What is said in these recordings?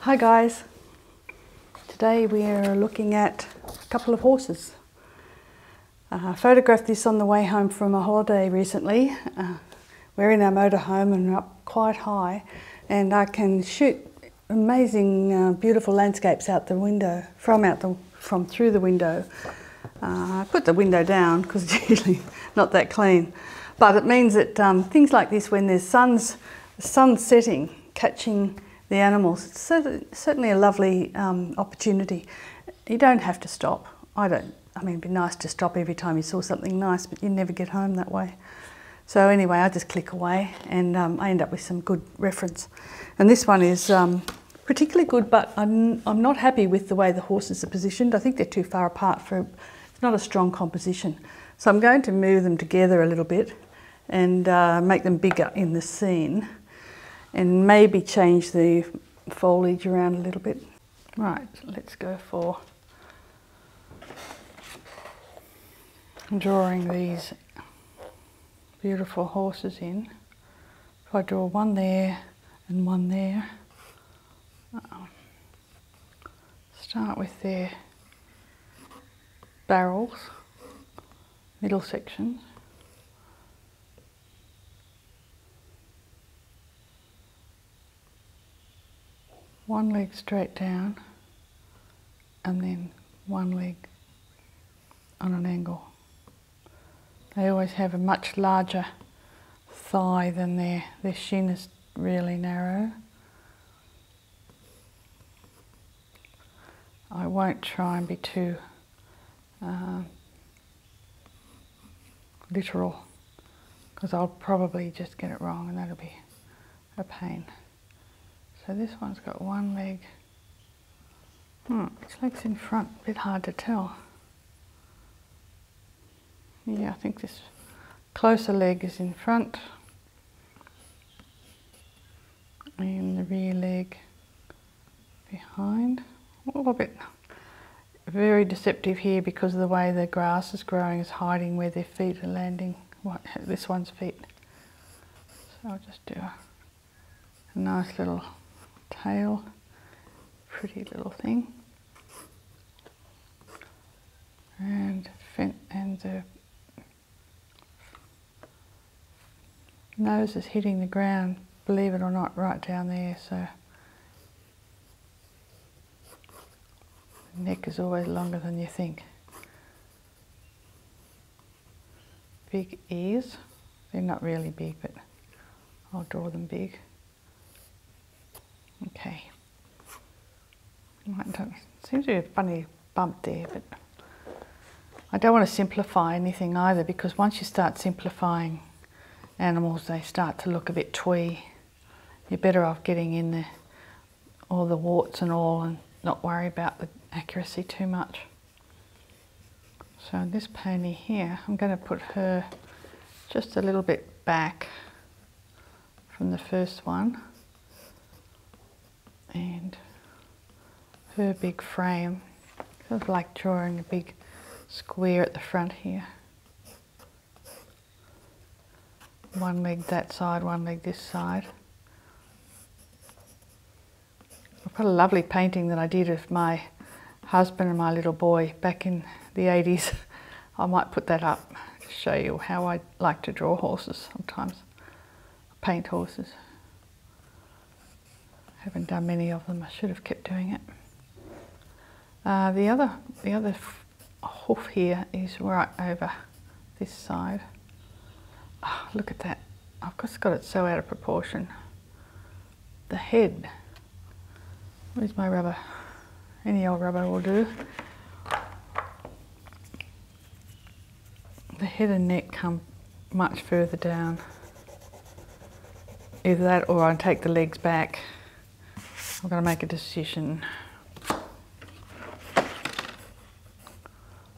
Hi guys, today we're looking at a couple of horses. I uh, photographed this on the way home from a holiday recently. Uh, we're in our motorhome and up quite high and I can shoot amazing uh, beautiful landscapes out the window, from out the, from through the window. I put the window down because it's usually not that clean. But it means that um, things like this, when there's sun's the sun setting, catching the animals. It's certainly a lovely um, opportunity. You don't have to stop. I don't. I mean, it'd be nice to stop every time you saw something nice, but you never get home that way. So anyway, I just click away and um, I end up with some good reference. And this one is um, particularly good, but I'm, I'm not happy with the way the horses are positioned. I think they're too far apart for it's not a strong composition. So I'm going to move them together a little bit and uh, make them bigger in the scene and maybe change the foliage around a little bit. Right, let's go for drawing these beautiful horses in. If I draw one there and one there, um, Start with their barrels, middle section. One leg straight down and then one leg on an angle. They always have a much larger thigh than their, their shin is really narrow. I won't try and be too uh, literal because I'll probably just get it wrong and that'll be a pain. So this one's got one leg. Hmm, its leg's in front, a bit hard to tell. Yeah, I think this closer leg is in front. In the rear leg behind. A little bit very deceptive here because of the way the grass is growing is hiding where their feet are landing. What, this one's feet. So I'll just do a nice little tail, pretty little thing and the nose is hitting the ground, believe it or not, right down there. So the neck is always longer than you think. Big ears, they're not really big, but I'll draw them big. Okay. Right, seems to be a funny bump there, but I don't want to simplify anything either because once you start simplifying animals, they start to look a bit twee. You're better off getting in the, all the warts and all and not worry about the accuracy too much. So this pony here, I'm going to put her just a little bit back from the first one and her big frame sort of like drawing a big square at the front here one leg that side one leg this side I've got a lovely painting that I did of my husband and my little boy back in the 80s I might put that up to show you how I like to draw horses sometimes, paint horses. Haven't done many of them, I should have kept doing it. Uh, the other, the other hoof here is right over this side. Ah, look at that, I've just got it so out of proportion. The head, where's my rubber? Any old rubber will do the head and neck come much further down. Either that or I take the legs back. I'm going to make a decision.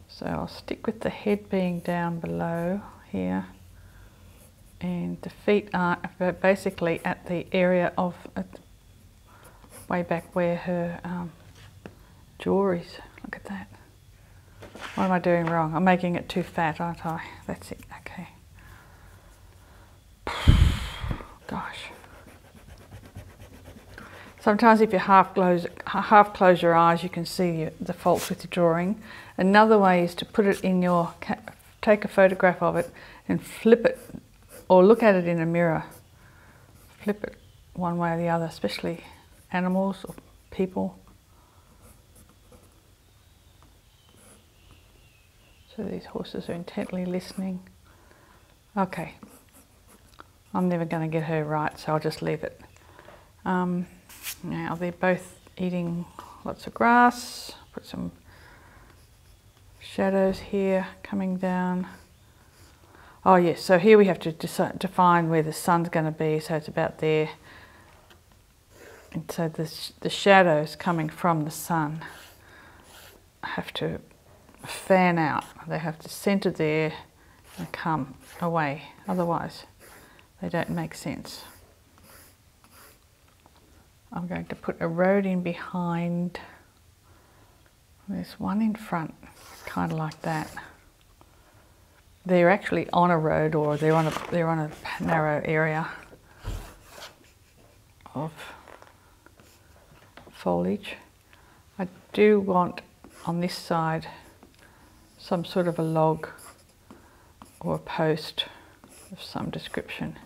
So I'll stick with the head being down below here and the feet are basically at the area of way back where her um, jewelry is. Look at that. What am I doing wrong? I'm making it too fat, aren't I? That's it. Okay. Gosh. Sometimes if you half close, half close your eyes, you can see the faults with your drawing. Another way is to put it in your, take a photograph of it and flip it or look at it in a mirror, flip it one way or the other, especially animals or people. So these horses are intently listening. Okay, I'm never going to get her right, so I'll just leave it. Um, now they're both eating lots of grass. Put some shadows here coming down. Oh yes, so here we have to define where the sun's going to be, so it's about there. And so the, the shadows coming from the sun have to fan out. They have to centre there and come away, otherwise they don't make sense. I'm going to put a road in behind there's one in front, kind of like that. They're actually on a road or they're on a, they're on a narrow area of foliage. I do want on this side some sort of a log or a post of some description.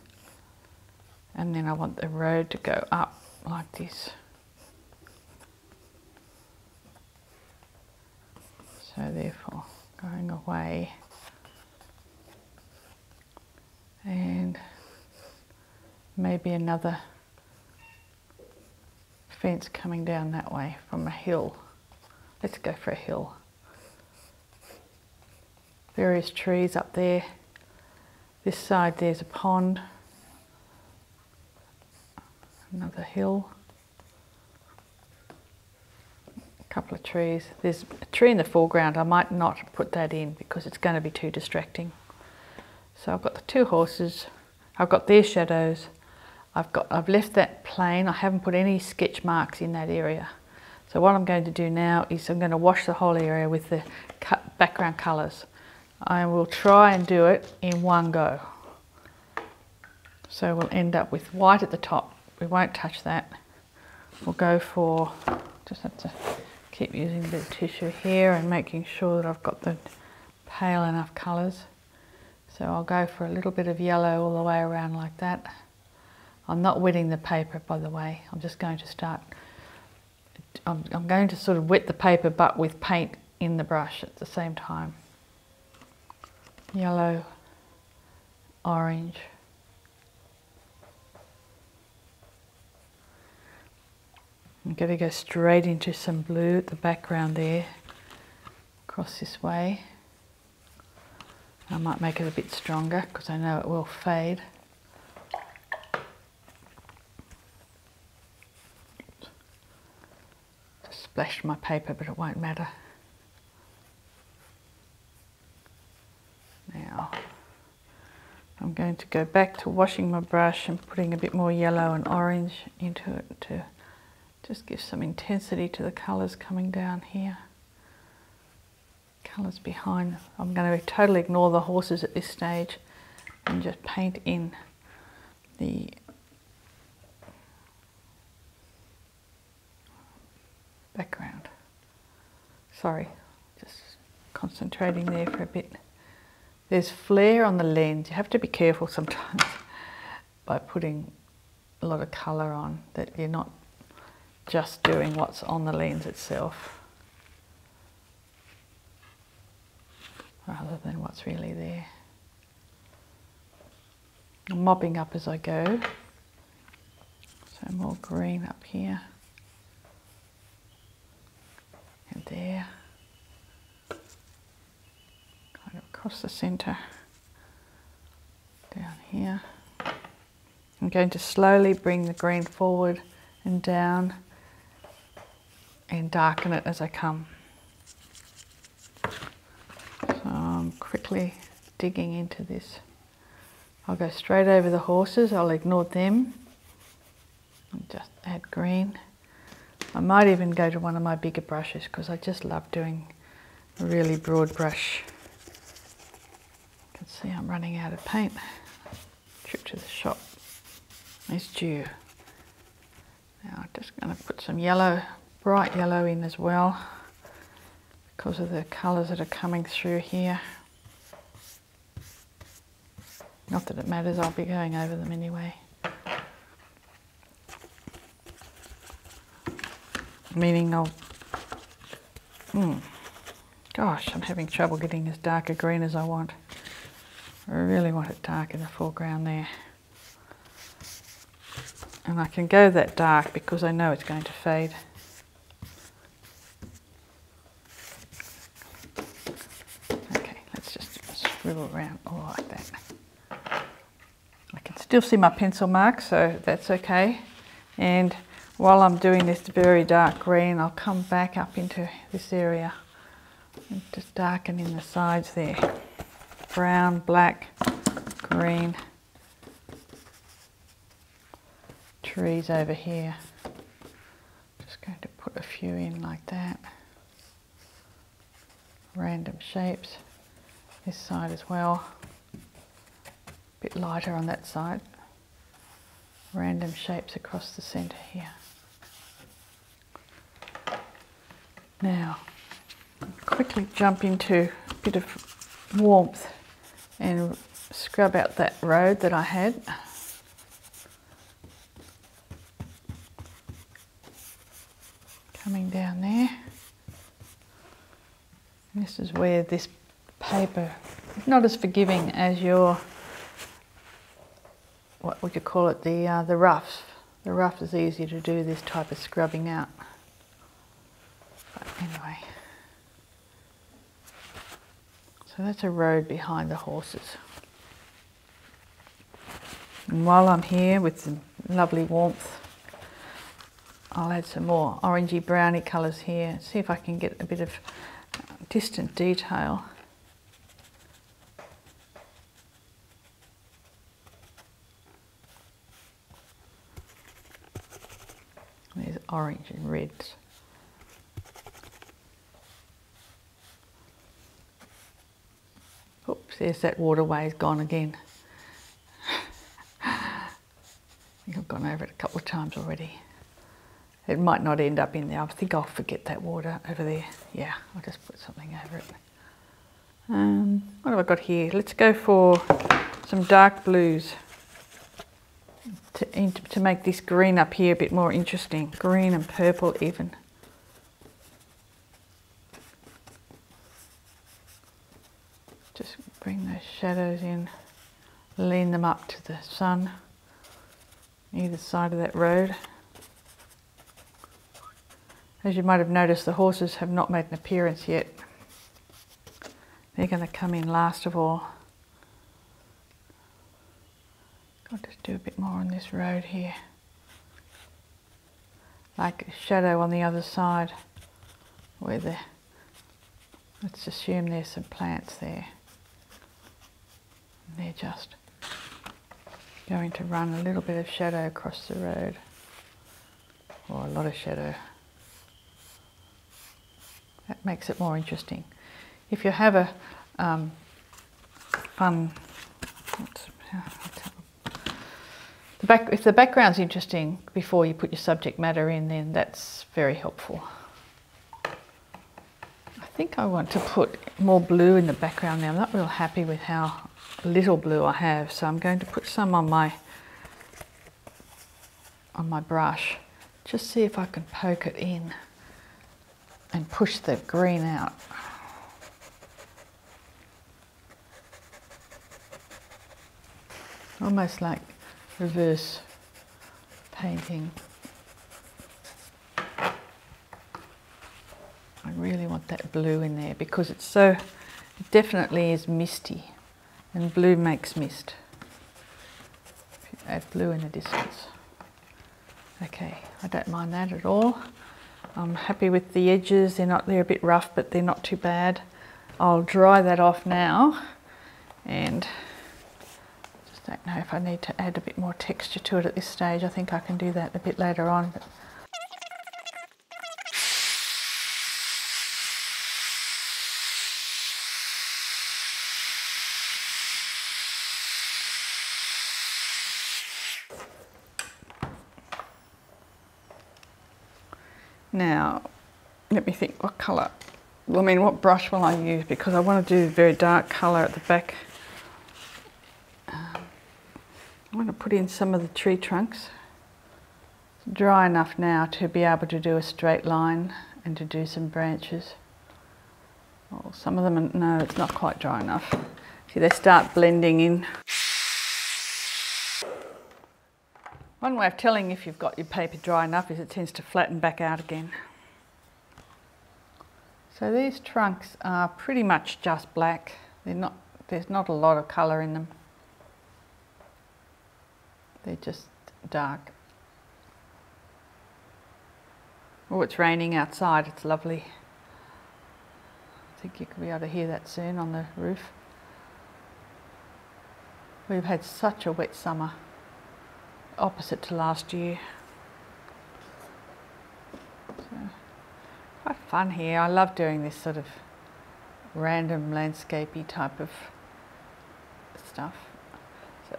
And then I want the road to go up like this. So therefore going away and maybe another fence coming down that way from a hill. Let's go for a hill. Various trees up there. This side there's a pond another hill, a couple of trees. There's a tree in the foreground. I might not put that in because it's going to be too distracting. So I've got the two horses, I've got their shadows, I've, got, I've left that plain, I haven't put any sketch marks in that area. So what I'm going to do now is I'm going to wash the whole area with the background colours. I will try and do it in one go. So we'll end up with white at the top. We won't touch that. We'll go for, just have to keep using the tissue here and making sure that I've got the pale enough colours. So I'll go for a little bit of yellow all the way around like that. I'm not wetting the paper by the way, I'm just going to start I'm, going to sort of wet the paper but with paint in the brush at the same time. Yellow, orange. I'm going to go straight into some blue at the background there, across this way. I might make it a bit stronger because I know it will fade. Just splashed my paper, but it won't matter. Now, I'm going to go back to washing my brush and putting a bit more yellow and orange into it to just give some intensity to the colours coming down here. Colours behind. I'm going to totally ignore the horses at this stage and just paint in the background. Sorry, just concentrating there for a bit. There's flare on the lens. You have to be careful sometimes by putting a lot of colour on that you're not just doing what's on the lens itself rather than what's really there. I'm mopping up as I go. So more green up here and there. Kind of across the centre, down here. I'm going to slowly bring the green forward and down and darken it as I come. So I'm quickly digging into this. I'll go straight over the horses, I'll ignore them and just add green. I might even go to one of my bigger brushes because I just love doing a really broad brush. You can see I'm running out of paint. Trip to the shop is due. Now I'm just going to put some yellow, bright yellow in as well because of the colours that are coming through here. Not that it matters, I'll be going over them anyway. Meaning I'll... Hmm. Gosh, I'm having trouble getting as dark a green as I want. I really want it dark in the foreground there. And I can go that dark because I know it's going to fade. Okay, let's just swivel around all I can still see my pencil mark, so that's okay. And while I'm doing this very dark green, I'll come back up into this area just darkening the sides there brown black green trees over here just going to put a few in like that random shapes this side as well a bit lighter on that side random shapes across the center here now, quickly jump into a bit of warmth and scrub out that road that I had. Coming down there. this is where this paper is not as forgiving as your what we could call it, the, uh, the rough. The rough is easier to do this type of scrubbing out. But anyway. So that's a road behind the horses. And while I'm here with some lovely warmth, I'll add some more orangey browny colours here. See if I can get a bit of distant detail. There's orange and reds. Oops, there's that waterway has gone again. I I've gone over it a couple of times already. It might not end up in there. I think I'll forget that water over there. Yeah, I'll just put something over it. Um, what have I got here? Let's go for some dark blues to make this green up here a bit more interesting. Green and purple even. Just bring those shadows in, lean them up to the sun, either side of that road. As you might have noticed, the horses have not made an appearance yet. They're going to come in last of all. I'll just do a bit more on this road here. Like a shadow on the other side where the, let's assume there's some plants there. they're just Going to run a little bit of shadow across the road, or a lot of shadow. That makes it more interesting. If you have a um, fun, if the background's interesting before you put your subject matter in, then that's very helpful. I think I want to put more blue in the background now. I'm not real happy with how little blue I have, so I'm going to put some on my on my brush. Just see if I can poke it in and push the green out. Almost like reverse painting. I really want that blue in there because it's so, definitely is misty and blue makes mist. add blue in the distance. Okay, I don't mind that at all. I'm happy with the edges, they're not, they're a bit rough, but they're not too bad. I'll dry that off now and just don't know if I need to add a bit more texture to it at this stage. I think I can do that a bit later on, now, let me think what colour, I mean what brush will I use because I want to do a very dark colour at the back I'm going to put in some of the tree trunks. dry enough now to be able to do a straight line and to do some branches. Oh, some of them, no, it's not quite dry enough. See, they start blending in. One way of telling if you've got your paper dry enough is it tends to flatten back out again. So these trunks are pretty much just black. They're not, there's not a lot of colour in them. They're just dark. Oh, it's raining outside. It's lovely. I think you can be able to hear that soon on the roof. We've had such a wet summer, opposite to last year. So, quite fun here. I love doing this sort of random landscapey type of stuff. So,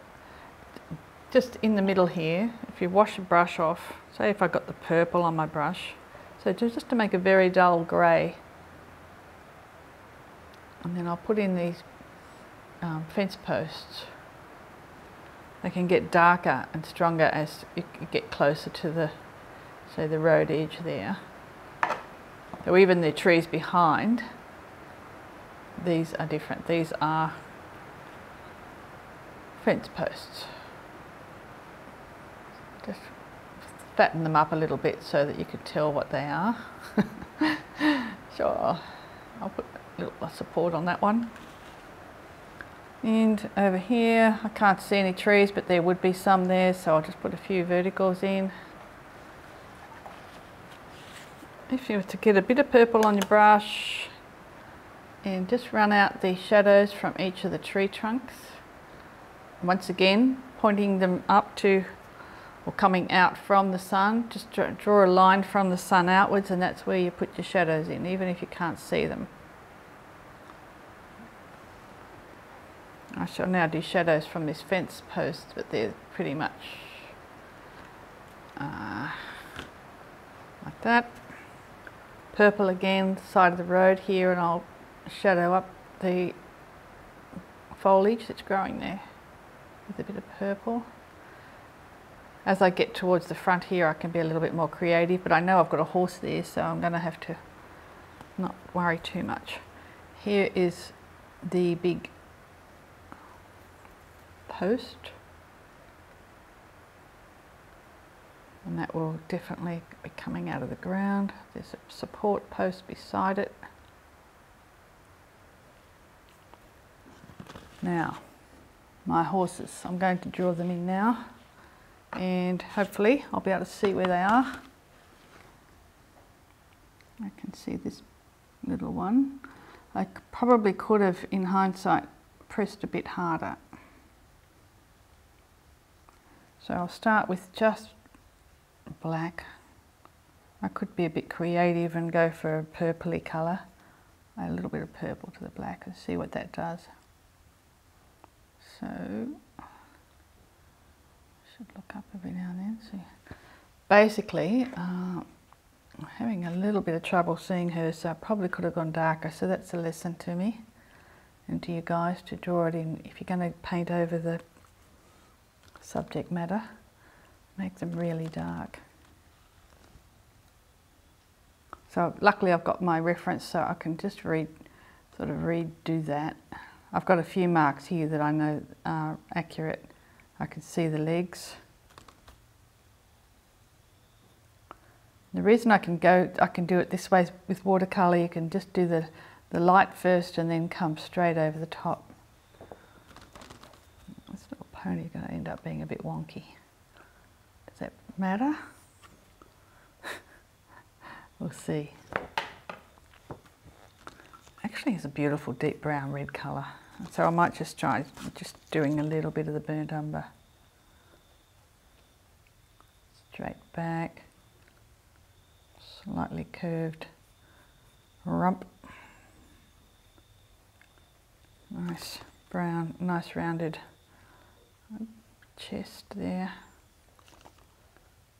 just in the middle here, if you wash a brush off, say if I got the purple on my brush, so just to make a very dull grey, and then I'll put in these um, fence posts. They can get darker and stronger as you get closer to the so the road edge there. So even the trees behind, these are different. These are fence posts. Just fatten them up a little bit so that you could tell what they are. sure, I'll put a little support on that one. And over here, I can't see any trees, but there would be some there, so I'll just put a few verticals in. If you were to get a bit of purple on your brush and just run out the shadows from each of the tree trunks. Once again, pointing them up to or coming out from the sun, just draw a line from the sun outwards and that's where you put your shadows in, even if you can't see them. I shall now do shadows from this fence post, but they're pretty much uh, like that. Purple again, side of the road here, and I'll shadow up the foliage that's growing there with a bit of purple. As I get towards the front here, I can be a little bit more creative, but I know I've got a horse there, so I'm going to have to not worry too much. Here is the big post and that will definitely be coming out of the ground. There's a support post beside it. Now, my horses, I'm going to draw them in now and hopefully I'll be able to see where they are. I can see this little one. I probably could have, in hindsight, pressed a bit harder. So I'll start with just black. I could be a bit creative and go for a purply colour. a little bit of purple to the black and see what that does. So, should look up every now and then. So, basically, uh, I'm having a little bit of trouble seeing her, so I probably could have gone darker. So that's a lesson to me and to you guys to draw it in. If you're going to paint over the subject matter, make them really dark. So luckily I've got my reference so I can just sort of redo that. I've got a few marks here that I know are accurate. I can see the legs. The reason I can go, I can do it this way with watercolour, you can just do the, the light first and then come straight over the top. This little pony's going to end up being a bit wonky. Does that matter? We'll see. Actually, it's a beautiful deep brown red colour. So I might just try just doing a little bit of the burnt umber. Straight back, slightly curved rump. Nice brown, nice rounded chest there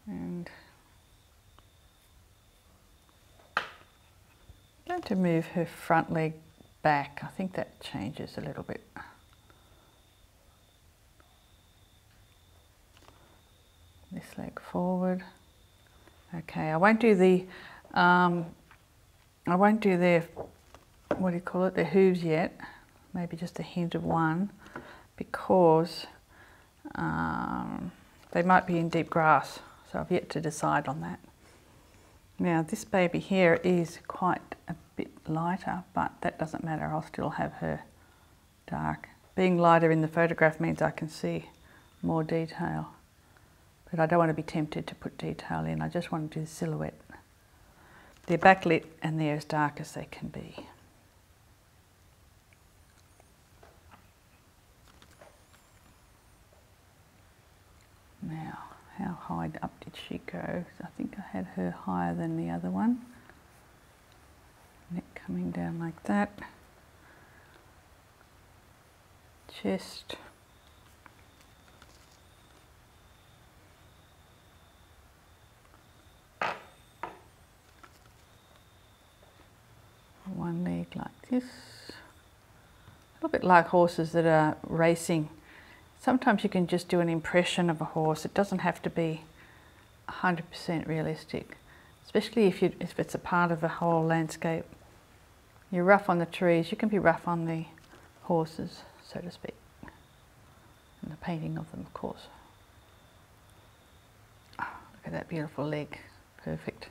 and going to move her front leg back. I think that changes a little bit. This leg forward. Okay, I won't do the, um, I won't do the, what do you call it, The hooves yet maybe just a hint of one, because um, they might be in deep grass. So I've yet to decide on that. Now this baby here is quite a bit lighter, but that doesn't matter. I'll still have her dark. Being lighter in the photograph means I can see more detail, but I don't want to be tempted to put detail in. I just want to do the silhouette. They're backlit and they're as dark as they can be. Now, how high up did she go? I think I had her higher than the other one. Neck coming down like that. Chest. One leg like this. A little bit like horses that are racing. Sometimes you can just do an impression of a horse. It doesn't have to be 100% realistic, especially if, you, if it's a part of a whole landscape. You're rough on the trees, you can be rough on the horses, so to speak and a painting of them, of course. Ah, look at that beautiful leg, perfect.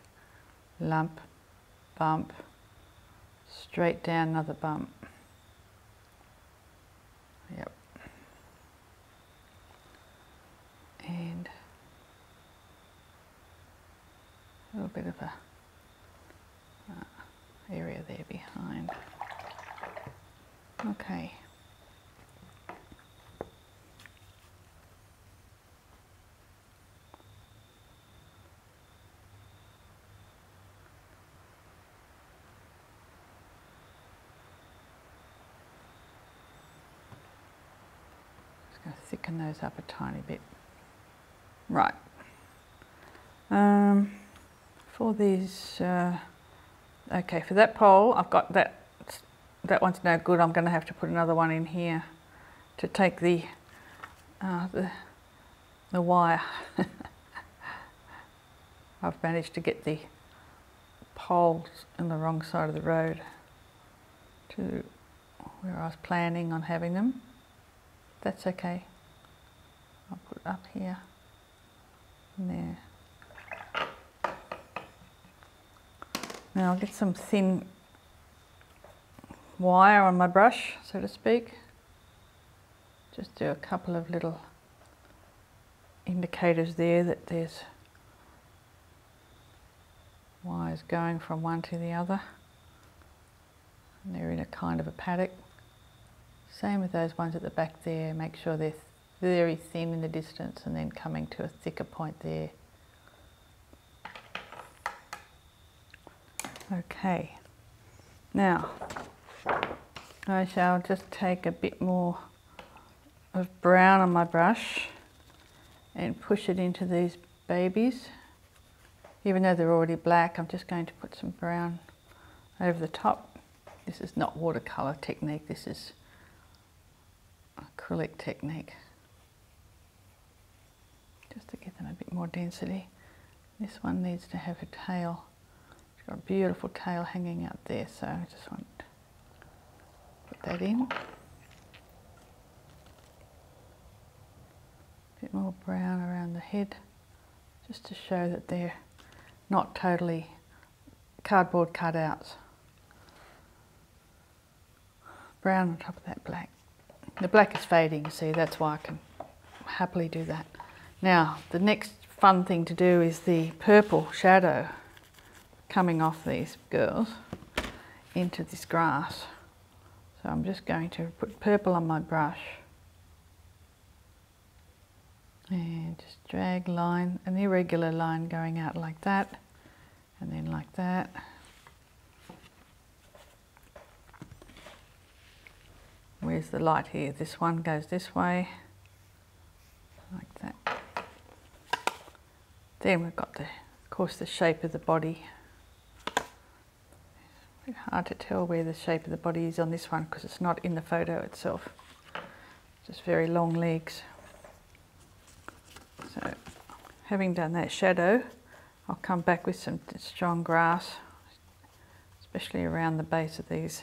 Lump, bump, straight down another bump. Yep. And a little bit of a uh, area there behind. Okay. Just going to thicken those up a tiny bit. Right. Um, for these, uh, okay, for that pole, I've got that, that one's no good. I'm going to have to put another one in here to take the, uh, the, wire. I've managed to get the poles in the wrong side of the road to where I was planning on having them. That's okay. I'll put it up here. There. Now I'll get some thin wire on my brush, so to speak. Just do a couple of little indicators there that there's wires going from one to the other. And they're in a kind of a paddock. Same with those ones at the back there, make sure they're very thin in the distance and then coming to a thicker point there. Okay, now I shall just take a bit more of brown on my brush and push it into these babies. Even though they're already black, I'm just going to put some brown over the top. This is not watercolor technique, this is acrylic technique. Just to give them a bit more density. This one needs to have a tail. It's got a beautiful tail hanging out there, so I just want to put that in. A bit more brown around the head, just to show that they're not totally cardboard cutouts. Brown on top of that black. The black is fading, see, that's why I can happily do that. Now, the next fun thing to do is the purple shadow coming off these girls into this grass. So I'm just going to put purple on my brush and just drag line, an irregular line going out like that, and then like that. Where's the light here? This one goes this way, like that. Then we've got the, of course, the shape of the body. Hard to tell where the shape of the body is on this one because it's not in the photo itself just very long legs. So having done that shadow, I'll come back with some strong grass, especially around the base of these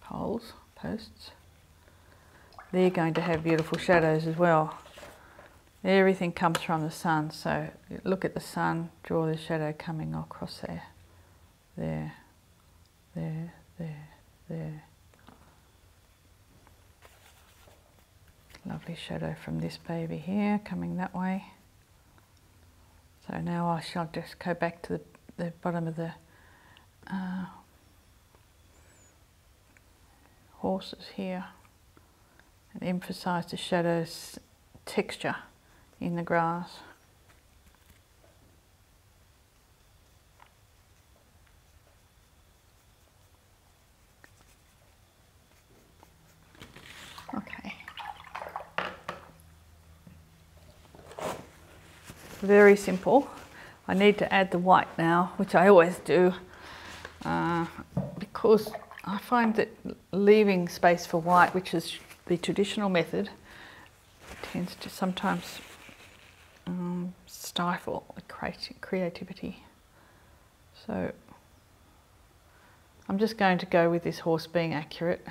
poles, posts. They're going to have beautiful shadows as well. Everything comes from the sun, so look at the sun, draw the shadow coming across there there, there, there, there. Lovely shadow from this baby here coming that way. So now I shall just go back to the, bottom of the uh, horses here and emphasize the shadow's texture in the grass. Okay. Very simple. I need to add the white now, which I always do, uh, because I find that leaving space for white, which is the traditional method, tends to sometimes um, stifle creativity. So I'm just going to go with this horse being accurate.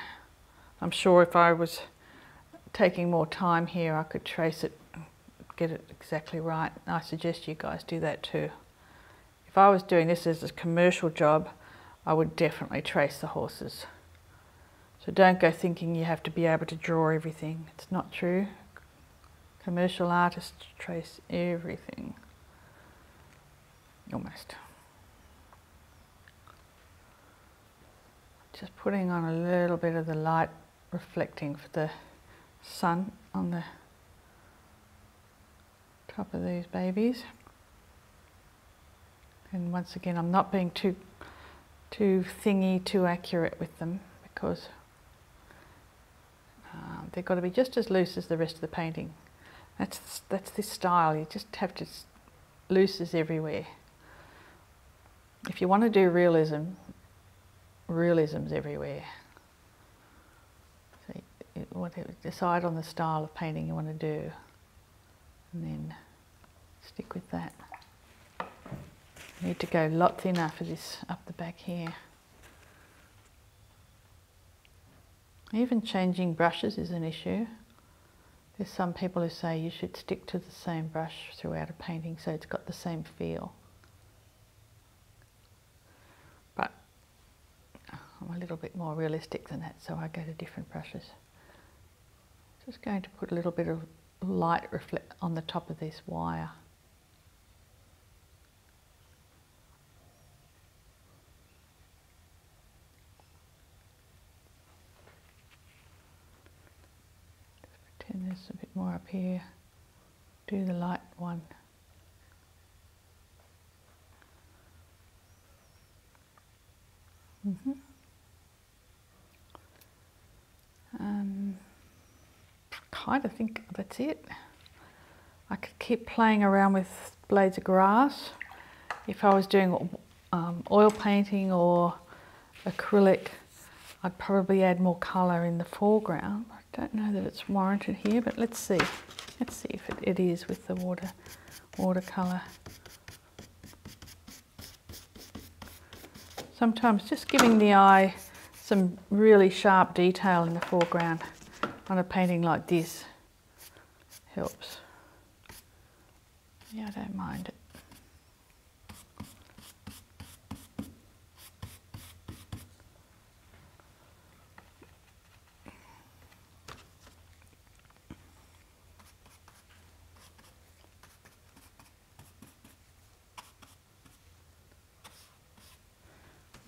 I'm sure if I was taking more time here, I could trace it, get it exactly right. And I suggest you guys do that too. If I was doing this as a commercial job, I would definitely trace the horses. So don't go thinking you have to be able to draw everything. It's not true. Commercial artists trace everything. Almost. Just putting on a little bit of the light reflecting for the sun on the top of these babies. And once again, I'm not being too, too thingy, too accurate with them because uh, they've got to be just as loose as the rest of the painting. That's, that's this style, you just have to, looses everywhere. If you want to do realism, realism's everywhere. So you, decide on the style of painting you want to do and then stick with that. I need to go a lot thinner for this up the back here. Even changing brushes is an issue. There's some people who say you should stick to the same brush throughout a painting so it's got the same feel. But I'm a little bit more realistic than that so I go to different brushes. Just going to put a little bit of light reflect on the top of this wire. Just pretend there's a bit more up here. Do the light one. Mm kind of think that's it. I could keep playing around with blades of grass if I was doing um, oil painting or acrylic I'd probably add more colour in the foreground. I don't know that it's warranted here, but let's see. Let's see if it is with the water watercolour. Sometimes just giving the eye some really sharp detail in the foreground on a painting like this helps. Yeah, I don't mind it.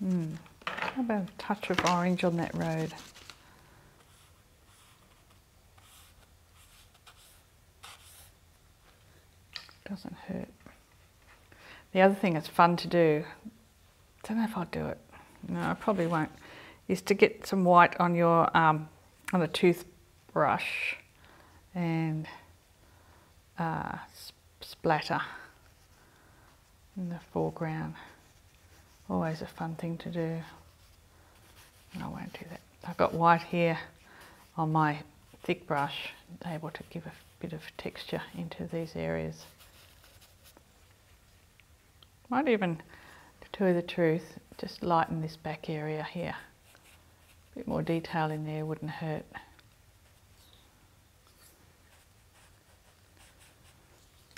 Mm. How about a touch of orange on that road? Doesn't hurt. The other thing that's fun to do, i don't know if I'll do it, no, I probably won't, is to get some white on your um, and a toothbrush and splatter in the foreground. Always a fun thing to do. I won't do that. I've got white here on my thick brush, able to give a bit of texture into these areas. Might even to the truth, just lighten this back area here. A bit more detail in there wouldn't hurt.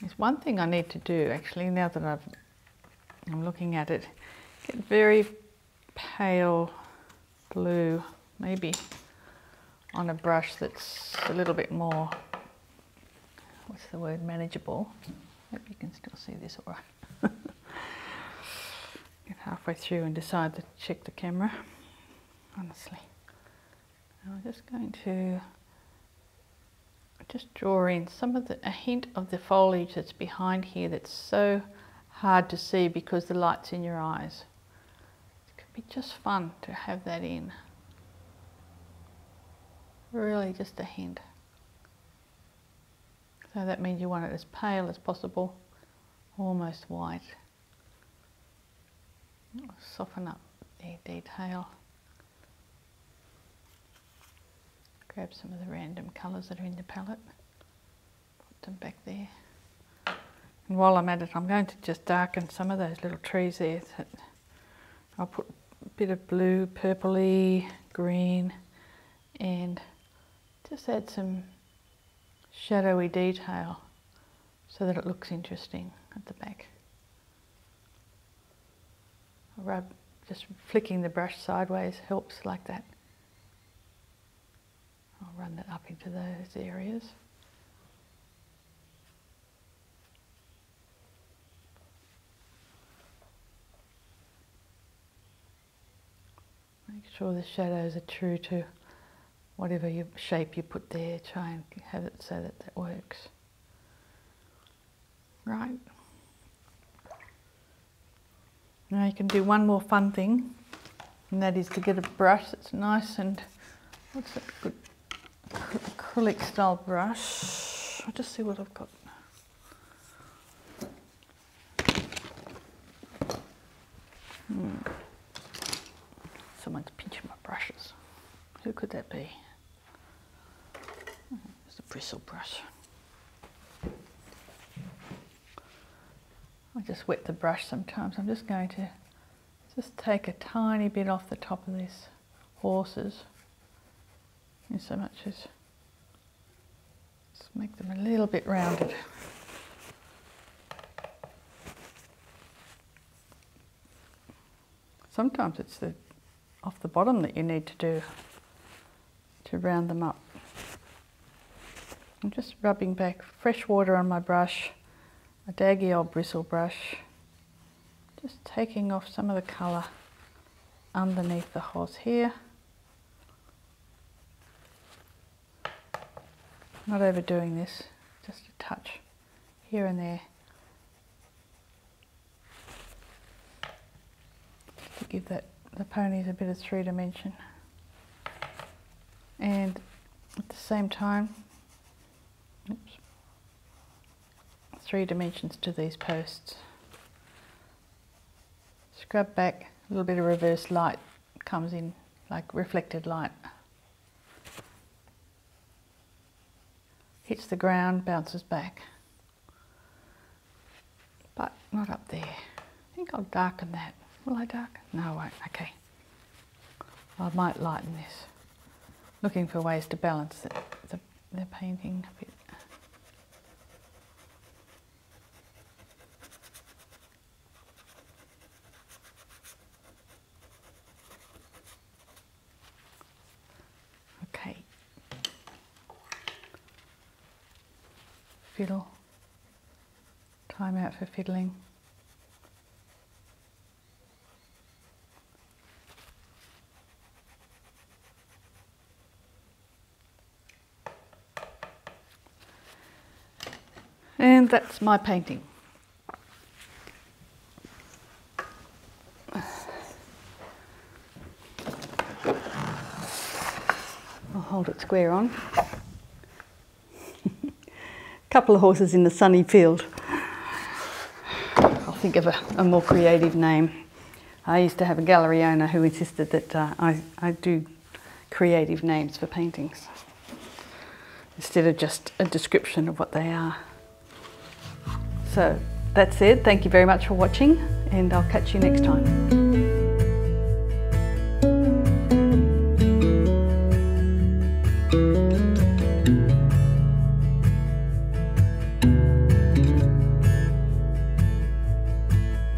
There's one thing I need to do actually, now that I've, I'm looking at it, get very pale blue, maybe on a brush that's a little bit more, what's the word, manageable. Hope you can still see this all right. Get halfway through and decide to check the camera, honestly. I'm just going to just draw in some of the, a hint of the foliage that's behind here that's so hard to see because the light's in your eyes. It could be just fun to have that in. Really just a hint. So that means you want it as pale as possible, almost white. Soften up the detail. Grab some of the random colours that are in the palette, put them back there. And while I'm at it, I'm going to just darken some of those little trees there. I'll put a bit of blue, purpley, green, and just add some shadowy detail so that it looks interesting at the back. rub, just flicking the brush sideways helps like that. I'll run that up into those areas. Make sure the shadows are true to whatever shape you put there. Try and have it so that that works. Right. Now you can do one more fun thing, and that is to get a brush that's nice and, what's that good, acrylic style brush. I'll just see what I've got. Hmm. Someone's pinching my brushes. Who could that be? Hmm, it's the bristle brush. I just wet the brush sometimes. I'm just going to just take a tiny bit off the top of these horses in so much as just make them a little bit rounded. Sometimes it's the off the bottom that you need to do to round them up. I'm just rubbing back fresh water on my brush, a daggy old bristle brush, just taking off some of the colour underneath the horse here. Not overdoing this, just a touch here and there. to give that the ponies a bit of three dimension. And at the same time, three dimensions to these posts. Scrub back, a little bit of reverse light comes in, like reflected light. Hits the ground, bounces back. But not up there. I think I'll darken that. Will I darken? No, I won't. Okay. I might lighten this. Looking for ways to balance the, the painting a bit. Okay. Fiddle. Time out for fiddling. And that's my painting. I'll hold it square on. A Couple of horses in the sunny field. I'll think of a more creative name. I used to have a gallery owner who insisted that uh, I, I do creative names for paintings instead of just a description of what they are. So that's it. Thank you very much for watching and I'll catch you next time.